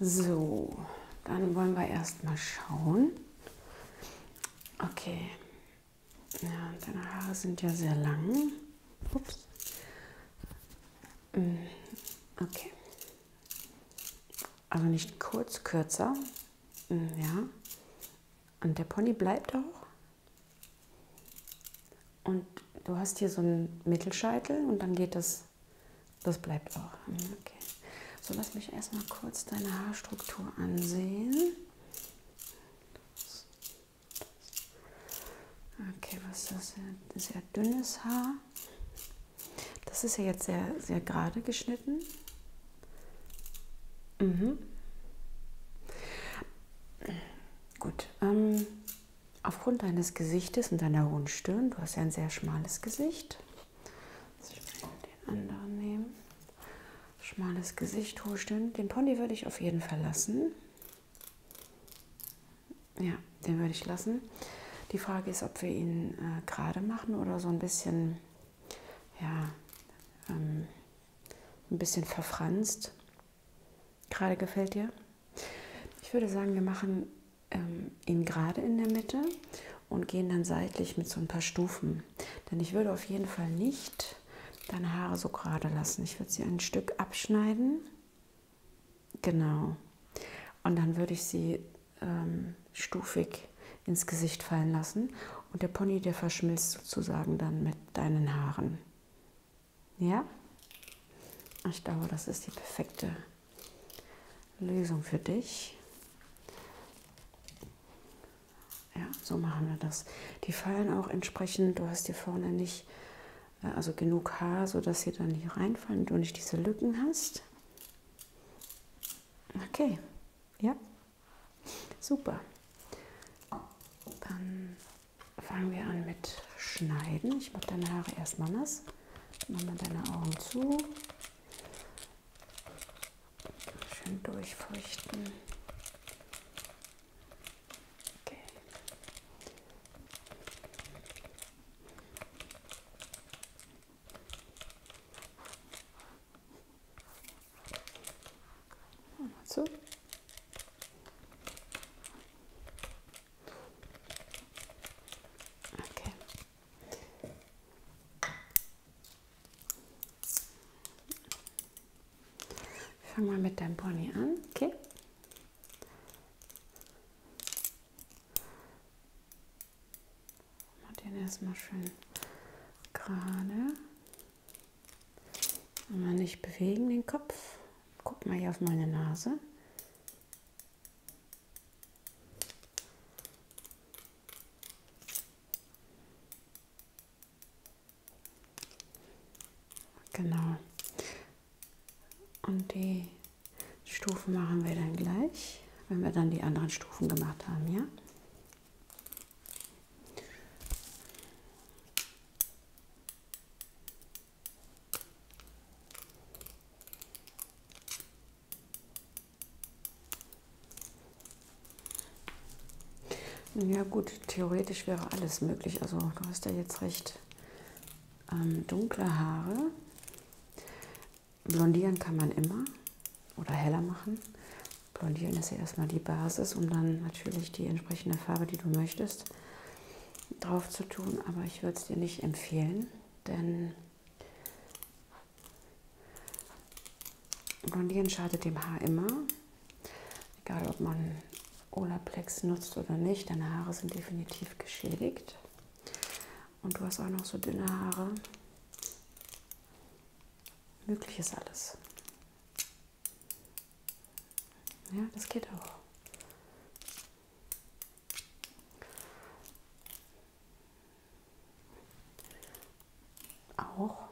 So, dann wollen wir erstmal schauen. Okay. Ja, deine Haare sind ja sehr lang. Ups. Mm, okay. Also nicht kurz, kürzer. Mm, ja. Und der Pony bleibt auch. Und du hast hier so einen Mittelscheitel und dann geht das das bleibt auch. Okay. So, lass mich erstmal kurz deine Haarstruktur ansehen. Okay, was ist das? Sehr dünnes Haar. Das ist ja jetzt sehr, sehr gerade geschnitten. Mhm. Gut. Ähm, aufgrund deines Gesichtes und deiner hohen Stirn, du hast ja ein sehr schmales Gesicht. Ich den anderen nehmen. Schmales Gesicht, hohe Stirn. Den Pony würde ich auf jeden Fall lassen. Ja, den würde ich lassen. Die Frage ist, ob wir ihn äh, gerade machen oder so ein bisschen, ja, ähm, ein bisschen verfranst. Gerade gefällt dir? Ich würde sagen, wir machen ähm, ihn gerade in der Mitte und gehen dann seitlich mit so ein paar Stufen. Denn ich würde auf jeden Fall nicht deine Haare so gerade lassen. Ich würde sie ein Stück abschneiden. Genau. Und dann würde ich sie ähm, stufig ins Gesicht fallen lassen. Und der Pony, der verschmilzt sozusagen dann mit deinen Haaren. Ja? Ich glaube, das ist die perfekte Lösung für dich. Ja, so machen wir das. Die fallen auch entsprechend, du hast hier vorne nicht äh, also genug Haar, sodass sie dann nicht reinfallen und du nicht diese Lücken hast. Okay, ja, super. Dann fangen wir an mit Schneiden. Ich mache deine Haare erstmal nass. Mach mal deine Augen zu. Schön durchfeuchten. Okay. Mal zu. Okay. Ich fang mal mit deinem Pony an, okay? Mach den erstmal schön gerade. Aber nicht bewegen den Kopf. Guck mal hier auf meine Nase. Genau. Und die Stufen machen wir dann gleich, wenn wir dann die anderen Stufen gemacht haben, ja? Ja gut, theoretisch wäre alles möglich. Also du hast ja jetzt recht. Ähm, dunkle Haare. Blondieren kann man immer oder heller machen. Blondieren ist ja erstmal die Basis, um dann natürlich die entsprechende Farbe, die du möchtest, drauf zu tun, aber ich würde es dir nicht empfehlen, denn Blondieren schadet dem Haar immer, egal ob man Olaplex nutzt oder nicht, deine Haare sind definitiv geschädigt und du hast auch noch so dünne Haare. Möglich ist alles. Ja, das geht auch. Auch.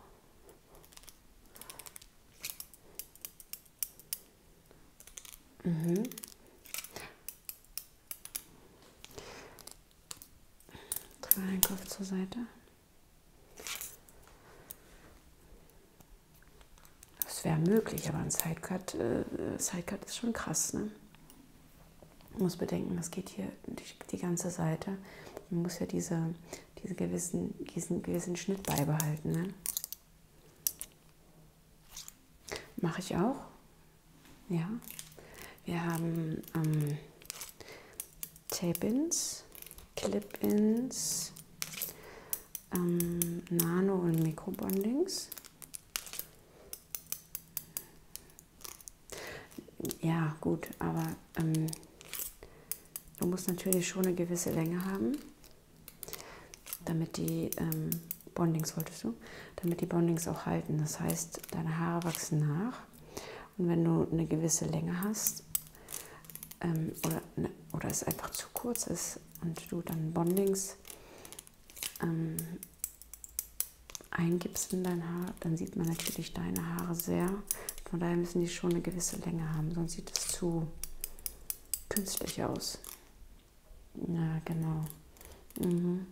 Mhm. Kopf zur Seite. Das wäre möglich, aber ein Sidecut, äh, Sidecut ist schon krass. Ne? Man muss bedenken, das geht hier die, die, ganze Seite. Man muss ja diese, diese gewissen, diesen gewissen Schnitt beibehalten. Ne? Mache ich auch. Ja. Wir haben ähm, Tape-Ins, Clip-Ins, ähm, Nano- und Mikrobondings. Ja, gut, aber ähm, du musst natürlich schon eine gewisse Länge haben, damit die ähm, Bondings wolltest du, damit die Bondings auch halten. Das heißt, deine Haare wachsen nach. Und wenn du eine gewisse Länge hast, ähm, oder, ne, oder es einfach zu kurz ist und du dann Bondings ähm, eingibst in dein Haar, dann sieht man natürlich deine Haare sehr. Von daher müssen die schon eine gewisse Länge haben, sonst sieht es zu künstlich aus. Ja, genau. Mhm.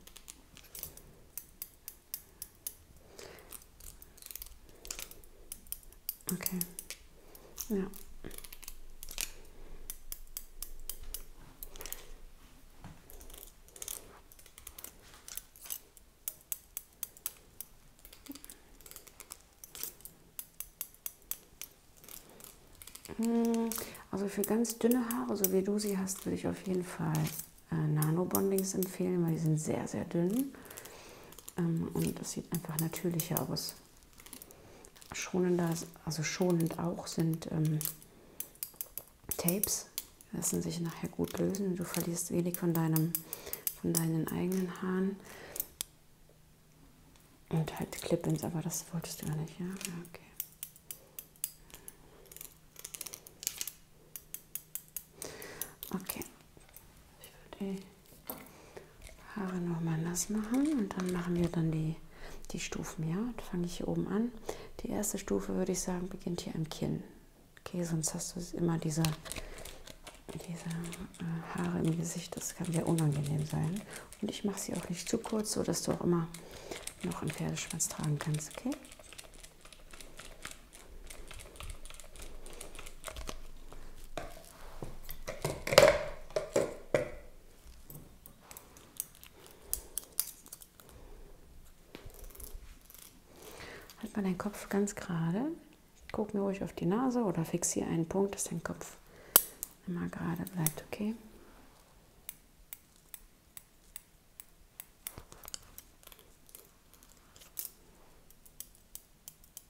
Okay. Ja. Hm, also für ganz dünne Haare, so wie du sie hast, würde ich auf jeden Fall äh, Nano Bondings empfehlen, weil die sind sehr, sehr dünn. Ähm, und es sieht einfach natürlicher aus. Schonender, also schonend auch sind ähm, Tapes. Lassen sich nachher gut lösen. Du verlierst wenig von, deinem, von deinen eigenen Haaren. Und halt Clip-Ins, aber das wolltest du ja nicht, ja? ja okay. Okay, ich würde die Haare nochmal nass machen und dann machen wir dann die, die Stufen. Ja, dann fange ich hier oben an. Die erste Stufe würde ich sagen, beginnt hier im Kinn. Okay, sonst hast du immer diese, diese äh, Haare im Gesicht. Das kann sehr unangenehm sein. Und ich mache sie auch nicht zu kurz, sodass du auch immer noch einen Pferdeschwanz tragen kannst. Okay? Halt mal deinen Kopf ganz gerade. Guck mir ruhig auf die Nase oder fixiere einen Punkt, dass dein Kopf immer gerade bleibt, okay?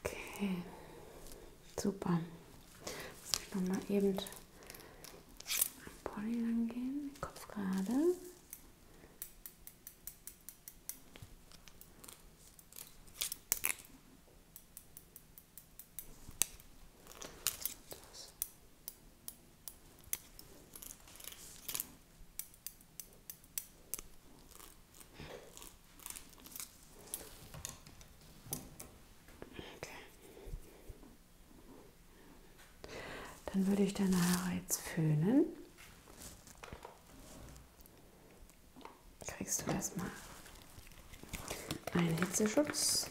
Okay, super. Lass mich nochmal eben am Pony lang gehen, Kopf gerade. Das. Okay. Dann würde ich deine Haare jetzt föhnen Kriegst du das mal? Ein Hitzeschutz.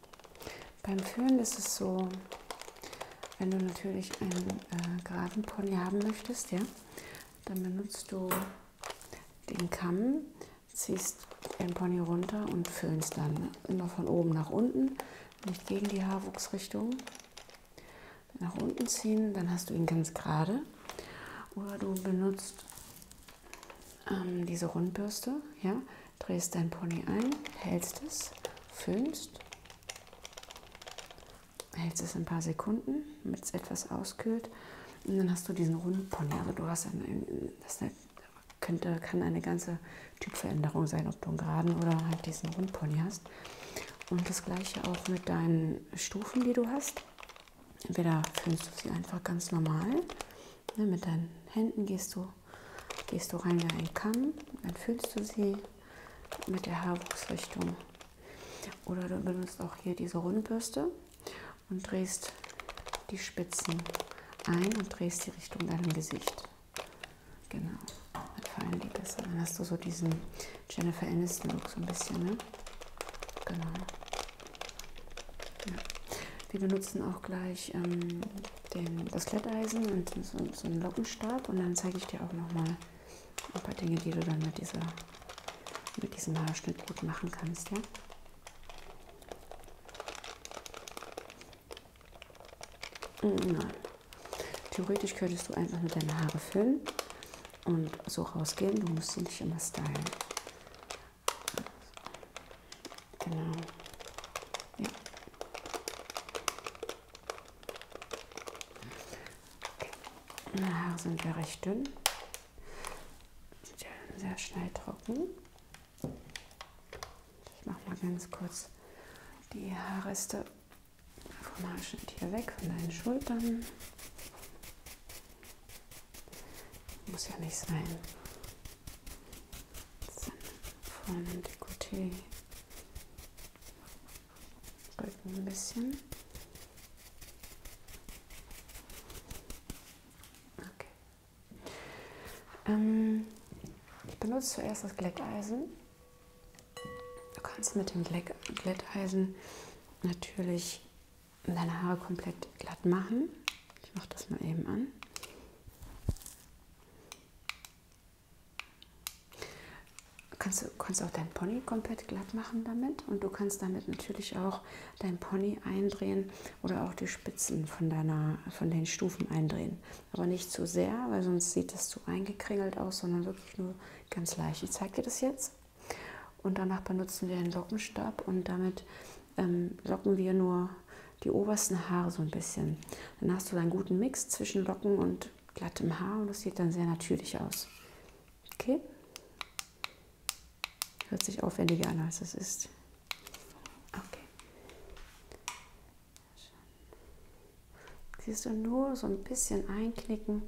Beim Föhn ist es so, wenn du natürlich einen äh, geraden Pony haben möchtest, ja, dann benutzt du den Kamm, ziehst den Pony runter und föhnst dann immer von oben nach unten, nicht gegen die Haarwuchsrichtung. Nach unten ziehen, dann hast du ihn ganz gerade. Oder du benutzt ähm, diese Rundbürste, ja, drehst dein Pony ein, hältst es, föhnst, hältst es ein paar Sekunden, damit es etwas auskühlt und dann hast du diesen runden Pony. Also du hast einen, das könnte, kann eine ganze Typveränderung sein, ob du einen geraden oder halt diesen Rundpony hast. Und das gleiche auch mit deinen Stufen, die du hast. Entweder füllst du sie einfach ganz normal, ne, mit deinen Händen gehst du gehst du rein wie ein Kamm, dann fühlst du sie mit der Haarwuchsrichtung. Oder du benutzt auch hier diese Rundbürste und drehst die Spitzen ein und drehst die Richtung deinem Gesicht. Genau, dann fallen die besser. Dann hast du so diesen Jennifer Aniston-Look so ein bisschen, ne? Genau. Ja. Wir benutzen auch gleich ähm, den, das Glätteisen und so, so einen Lockenstab und dann zeige ich dir auch nochmal ein paar Dinge, die du dann mit, dieser, mit diesem Haarschnitt gut machen kannst. Ja? Nein. Theoretisch könntest du einfach nur deine Haare füllen und so rausgehen. Du musst sie nicht immer stylen. Genau. Ja. Okay. Haare sind ja recht dünn. Sind ja sehr schnell trocken. Ich mache mal ganz kurz die Haarreste vom Haarschnitt hier weg, von deinen Schultern. Muss ja nicht sein vorne Dekolleté, Rücken ein bisschen. Okay. Ähm, ich benutze zuerst das Glätteisen. Du kannst mit dem Glätteisen natürlich deine Haare komplett glatt machen. Ich mache das mal eben an. Kannst du kannst auch deinen Pony komplett glatt machen damit und du kannst damit natürlich auch deinen Pony eindrehen oder auch die Spitzen von, deiner, von den Stufen eindrehen. Aber nicht zu sehr, weil sonst sieht das zu eingekringelt aus, sondern wirklich nur ganz leicht. Ich zeige dir das jetzt und danach benutzen wir einen Lockenstab und damit ähm, locken wir nur die obersten Haare so ein bisschen. Dann hast du einen guten Mix zwischen Locken und glattem Haar und das sieht dann sehr natürlich aus. Okay? Hört sich aufwendiger an, als es ist. Okay. Siehst du nur so ein bisschen einknicken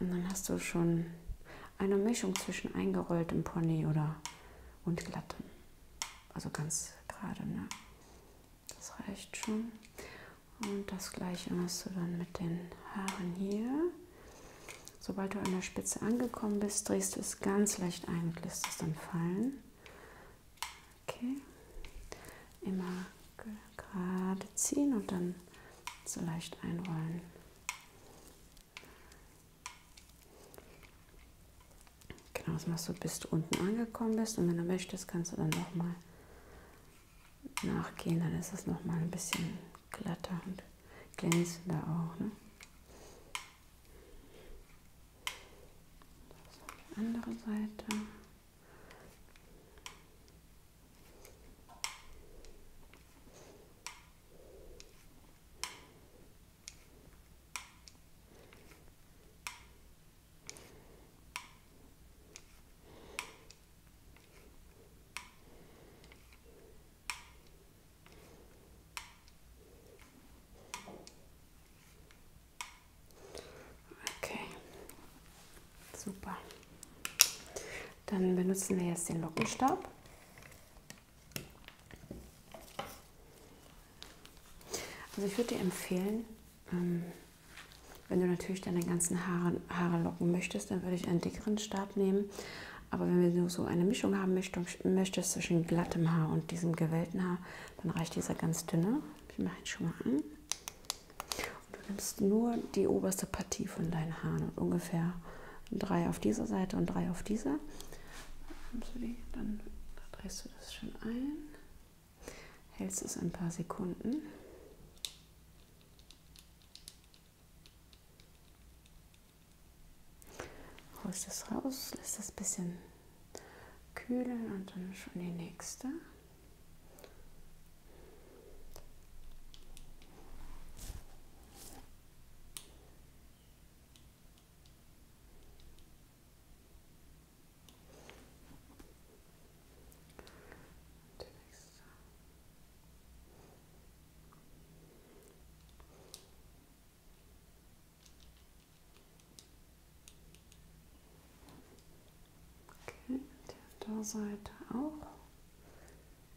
und dann hast du schon eine Mischung zwischen eingerolltem Pony oder und glattem. Also ganz gerade, ne? Das reicht schon. Und das gleiche machst du dann mit den Haaren hier. Sobald du an der Spitze angekommen bist, drehst du es ganz leicht ein und lässt es dann fallen. Okay. Immer gerade ziehen und dann so leicht einrollen. Genau, das machst du, bis du unten angekommen bist. Und wenn du möchtest, kannst du dann nochmal nachgehen. Dann ist es nochmal ein bisschen glatter und glänzender auch. Ne? die andere Seite. Okay, super. Dann benutzen wir jetzt den Lockenstab. Also ich würde dir empfehlen, ähm, wenn du natürlich deine ganzen Haare, Haare locken möchtest, dann würde ich einen dickeren Stab nehmen. Aber wenn du so eine Mischung haben möchtest zwischen glattem Haar und diesem gewellten Haar, dann reicht dieser ganz dünne. Ich mache ihn schon mal an. Und du nimmst nur die oberste Partie von deinen Haaren und ungefähr drei auf dieser Seite und drei auf dieser. Dann drehst du das schön ein, hältst es ein paar Sekunden. Holst es raus, lässt es ein bisschen kühlen und dann schon die nächste. Und der nächste. Okay, die Unterseite auch.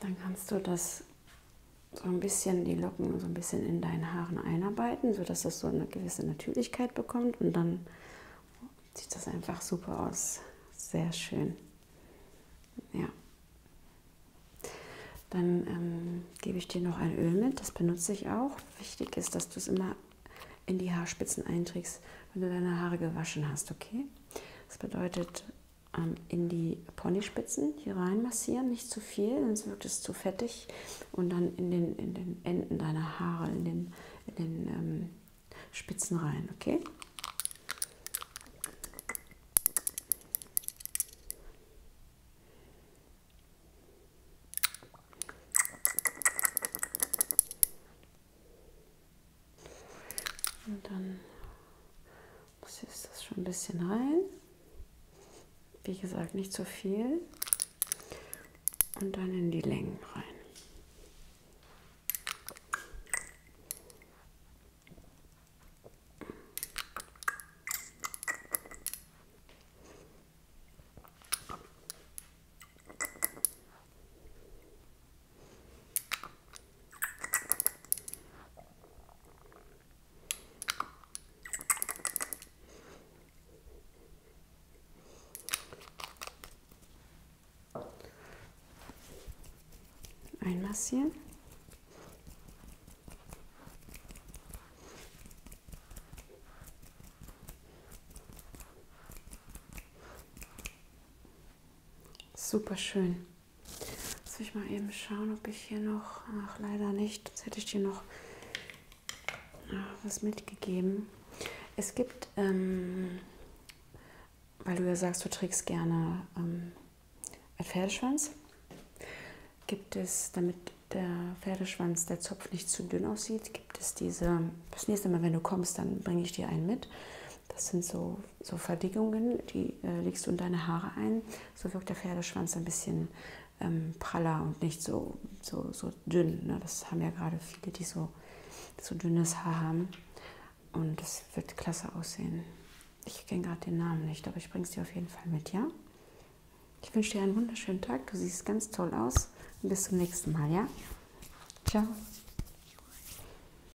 Dann kannst du das so ein bisschen, die Locken so ein bisschen in deinen Haaren einarbeiten, sodass das so eine gewisse Natürlichkeit bekommt und dann sieht das einfach super aus. Sehr schön. Ja. Dann ähm, gebe ich dir noch ein Öl mit, das benutze ich auch. Wichtig ist, dass du es immer in die Haarspitzen einträgst, wenn du deine Haare gewaschen hast, okay? Das bedeutet, ähm, in die Ponyspitzen hier rein massieren, nicht zu viel, sonst wirkt es zu fettig. Und dann in den, in den Enden deiner Haare, in den, in den ähm, Spitzen rein, okay? Und dann muss jetzt das schon ein bisschen rein. Wie gesagt, nicht zu so viel. Und dann in die Längen rein. Einmassieren. Super schön. Lass mich mal eben schauen, ob ich hier noch. Ach, leider nicht. Jetzt hätte ich dir noch was mitgegeben. Es gibt, ähm, weil du ja sagst, du trägst gerne ähm, einen Pferdeschwanz, gibt es, damit der Pferdeschwanz, der Zopf nicht zu dünn aussieht, gibt es diese, das nächste Mal, wenn du kommst, dann bringe ich dir einen mit. Das sind so, so Verdickungen, die äh, legst du in deine Haare ein. So wirkt der Pferdeschwanz ein bisschen ähm, praller und nicht so, so, so dünn. Ne? Das haben ja gerade viele, die so, so dünnes Haar haben. Und das wird klasse aussehen. Ich kenne gerade den Namen nicht, aber ich bringe es dir auf jeden Fall mit, ja? Ich wünsche dir einen wunderschönen Tag. Du siehst ganz toll aus. Und bis zum nächsten Mal, ja? Ciao.